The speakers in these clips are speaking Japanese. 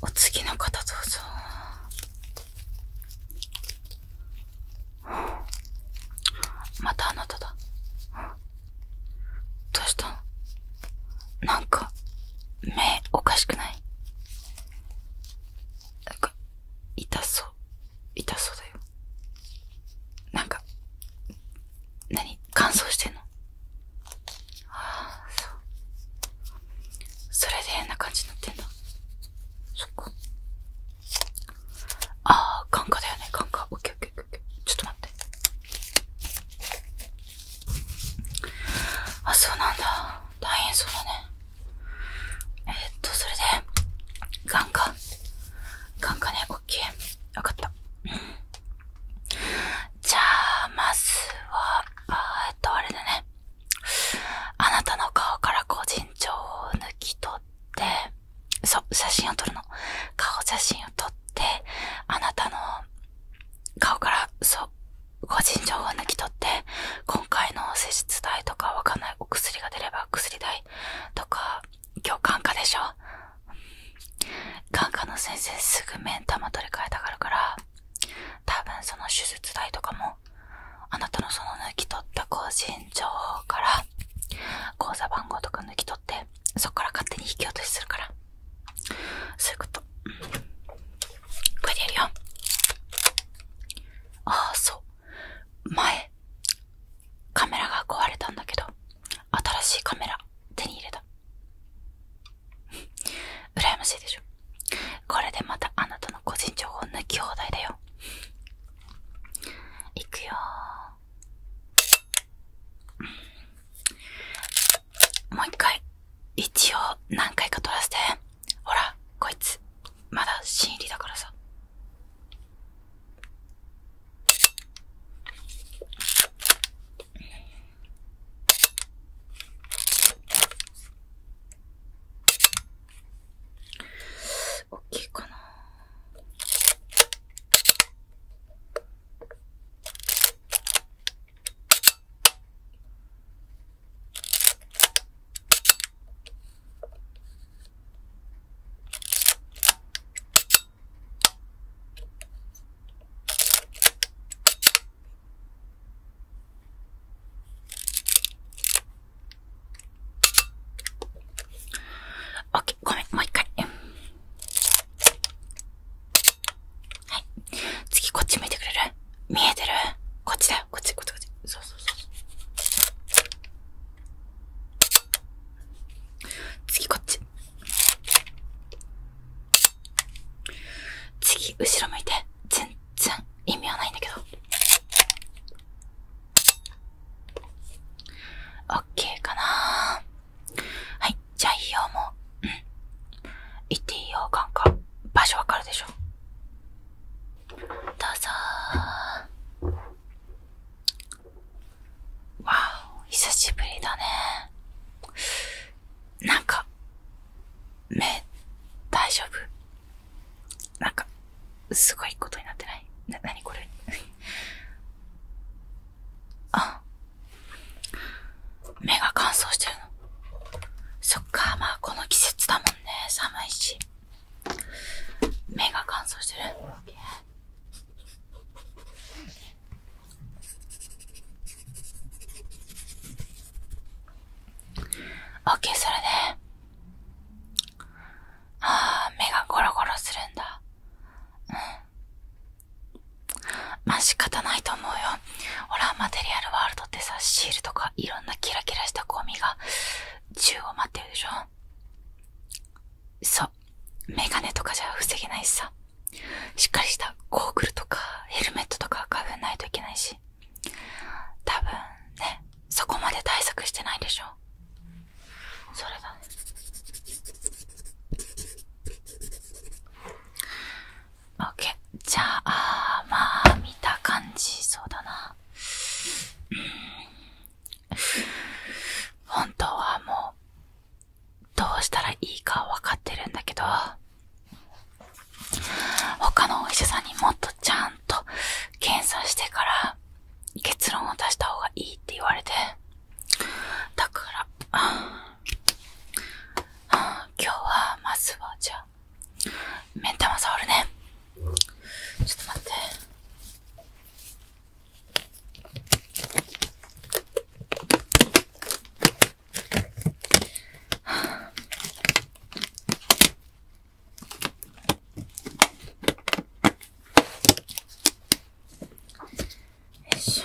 お次の方どうぞ。またあなただ。どうしたのなんか、目おかしくないなか、痛そう。痛そうだよ。なんか、何乾燥してんのああ、そう。それで変な感じになってんだ。そっか。ああ、眼科だよね、眼科。オッケーオッケーオッケー。ちょっと待って。あ、そうなんだ。大変そうだね。えっと、それで、眼科。眼鏡、オッケー。わかった。じゃあ、まずは、あえっと、あれだね。あなたの顔から個人情報を抜き取って、そう、写真を撮るの。顔写真を撮って、あなたの顔から、そう、個人情報を抜き取って、今回の施術代とかわかんないお薬が出れば薬代とか今日眼科でしょ眼科の先生すぐ目ん玉取り替えたがるからたぶんその手術代とかもあなたのその抜き取った更新情報から口座番号とか抜き取ってそっから勝手に引き落としするからそういうことこれでやるよああそう前カメラが壊れたんだけど新しいカメラ手に入れた羨ましいでしょこれでまたあなたの個人情報抜き放題だよいくよもう一回一応何回か撮らせてほらこいつまだ新入りだからさ大きいかなオッケー、ごめん、もう一回。はい。次こっち向いてくれる見えてるこっちだよ。こっち、こっち、こっち。そうそうそう。次、こっち。次、後ろ向いて。全然意味はないんだけど。オッケーかなはい、じゃあいいよ、もう。ん。行っていいよ、カンカン。場所分かるでしょどうぞわお久しぶりだねなんか目大丈夫なんかすごいことになってないな、なにこれ あ目が乾燥してるのそっかまあこの季節だもんね寒いし目が乾燥してる。オッケー、それで。ああ、目がゴロゴロするんだ。うん。まあ、仕方ないと思うよ。ほら、マテリアルワールドってさ、シールとかいろんなキラキラしたゴミが銃を待ってるでしょそう。メガネとかじゃ防げないしさ。しっかりしたゴーグルとかヘルメットとかかぶんないといけないし。多分ね、そこまで対策してないでしょそれだね。OK。じゃあ、まあ、見た感じ、そうだな。本当はもうどうしたらいいか分かってるんだけど他のお医者さんにもっとちゃんと検査してから結論を出した方がいいって言われてだから今日はまずはじゃあだ目ん玉触るねちょっと待ってよいしょ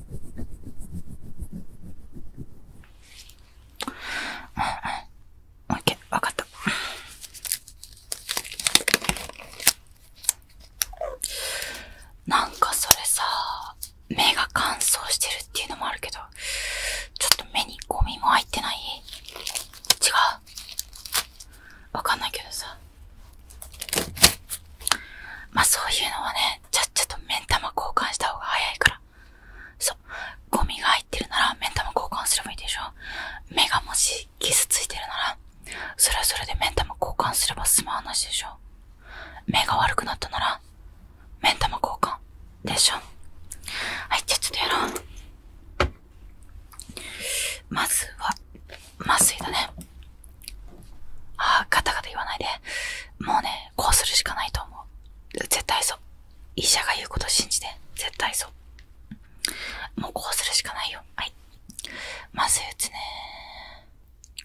ううんん。オッケー、わかった。なんかそれさ、目が乾燥してるっていうのもあるけど、ちょっと目にゴミも入ってない違うわかんないけどさ。まあそういうのはね、じゃ、ちょっと目ん玉交換した方が早いから。そう。ゴミが入ってるなら目ん玉交換すればいいでしょ目がもし傷ついてるなら、それはそれで目ん玉交換すれば済まな話でしょ目が悪くなったなら、目ん玉交換。でしょはい、じゃあちょっとやろう。まずは、麻酔だね。ああ、ガタガタ言わないで。もうね、こうするしかないと思う。絶対そう。医者が言うこと信じて。絶対そう。もうこうするしかないよ。はい。麻酔打つねー。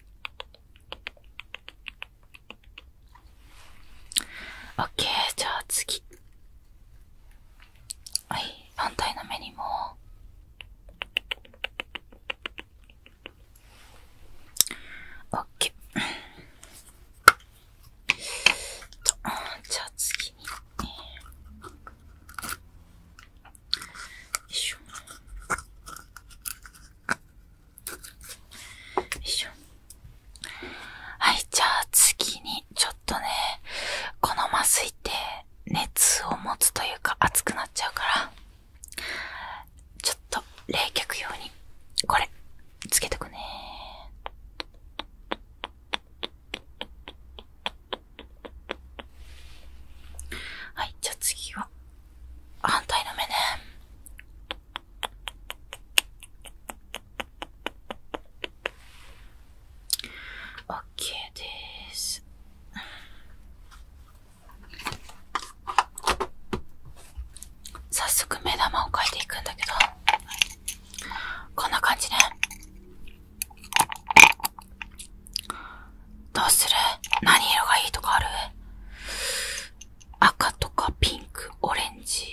オッケー、じゃあ次。はい、反対の目にも。オッケー。じゃあ次に。よいしょ。よいしょ。はい、じゃあ次に、ちょっとね、この麻酔って熱を持つというか熱くなっちゃうから、ちょっと冷却用にこれつけてくねはいじゃあ次は反対の目ねオッケーです早速目玉を描いていくんだけど、こんな感じね。どうする何色がいいとかある赤とかピンク、オレンジ、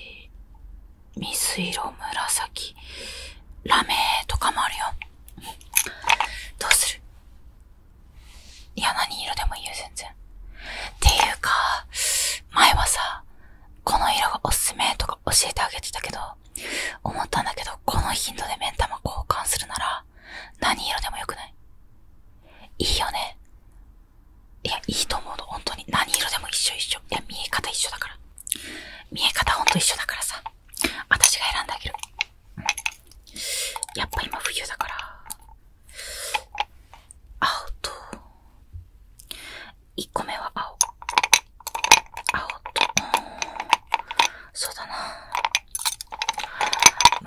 水色、紫、ラメとかもあるよ。どうするいや、何色でもいいよ、全然。っていうか、前はさ、この色がおすすめとか教えてあげてたけど、思ったんだけど、この頻度で目ん玉交換するなら、何色でもよくないいいよね。いや、いいと思うの、本当に。何色でも一緒一緒。いや、見え方一緒だから。見え方ほんと一緒だからさ。私が選んであげる。やっぱ今冬だから青と1個目は青青とそうだな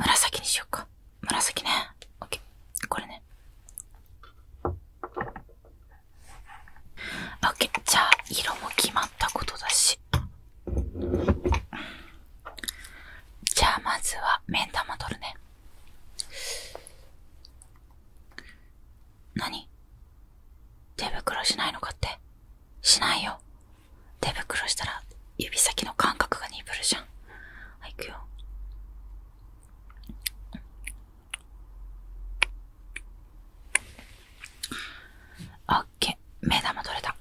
紫にしようか紫ねオッケーこれねオッケーじゃあ色も決まったことだしじゃあまずは目ん玉取るね何手袋しないのかってしないよ手袋したら指先の感覚が鈍るじゃんはい行くよあ。ッけ、目玉取れた。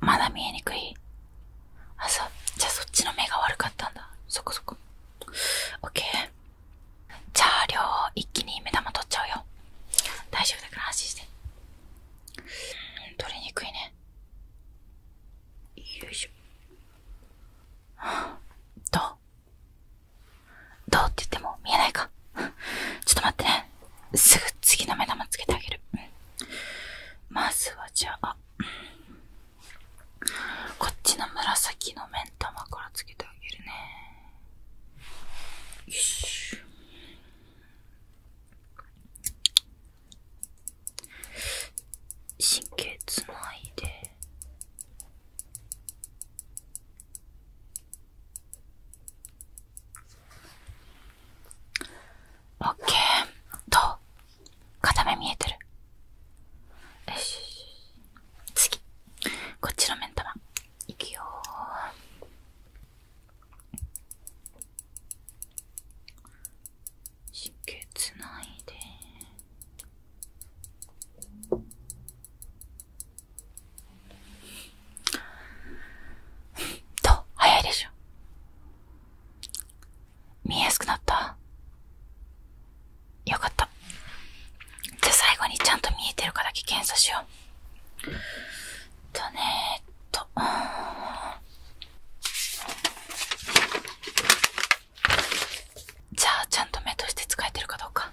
まだ見えにくいあ、そう。じゃあそっちの目が悪かったんだ。そっかそっか。オッケー。じゃあ、両一気に目玉取っちゃうよ。大丈夫だから安心して。うん、取りにくいね。よいしょ。あどと。どうって言っても見えないかちょっと待ってね。すぐ次の目玉つけてあげる。まずはじゃあ、こっちの紫の目玉からつけてあげるね。よし。神経つないで。オッケーと、片目見えてる。よし。次。こっちの目ん玉。いくよ神経つないで。と、早いでしょ。見えやすくなったよかった。じゃあ最後にちゃんと見えてるかだけ検査しよう。とねえ、っと。じゃあちゃんと目として使えてるかどうか。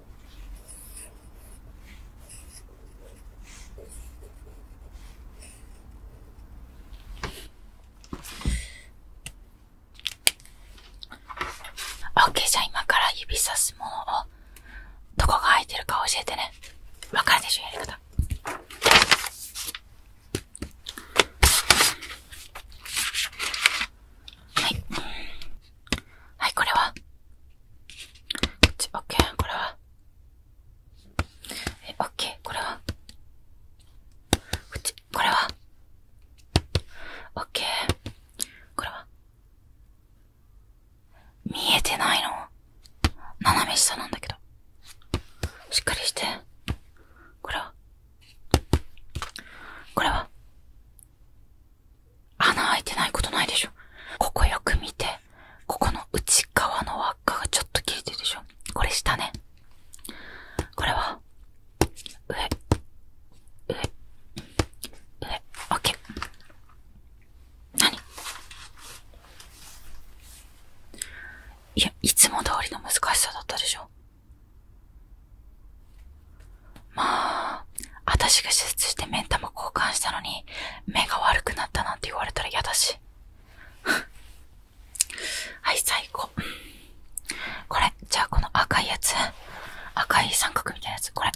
オッケー、じゃあ今から指さすもどこが空いてるか教えてねわかるでしょやり方はいはい、これはこっち、オッケー、これはえ、オッケー、これはこっち、これはオッケー、これは見えてないの斜め下なんだけど。しっかりして。これはこれは穴開いてないことないでしょ。ここよく見て、ここの内側の輪っかがちょっと切れてるでしょ。これ下ね。これは、上、上、上、オッケー。何いや、いつも通りの難しさだったでしょ。まあ、私が手術してメ目んも交換したのに、目が悪くなったなんて言われたら嫌だし。はい、最高。これ、じゃあこの赤いやつ。赤い三角みたいなやつ、これ。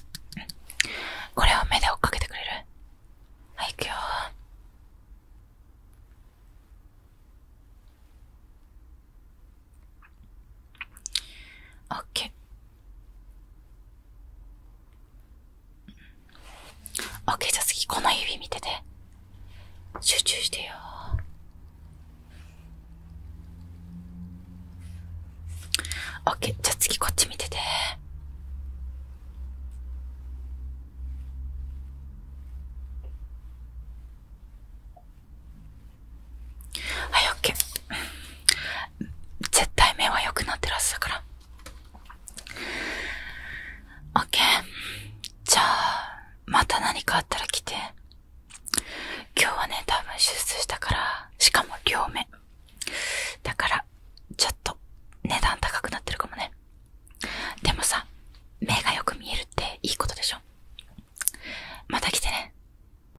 これを目で追っかけてくれるはい、行くよ。オッケー。OK じゃあ次この指見てて集中してよオー OK じゃあ次こっち見ててはい、オッケー。絶対目は良くなってらっしゃるから。オッケー。じゃあ、また何かあったら来て。今日はね、多分手術したから、しかも両目。だから、ちょっと値段高くなってるかもね。でもさ、目がよく見えるっていいことでしょ。また来てね。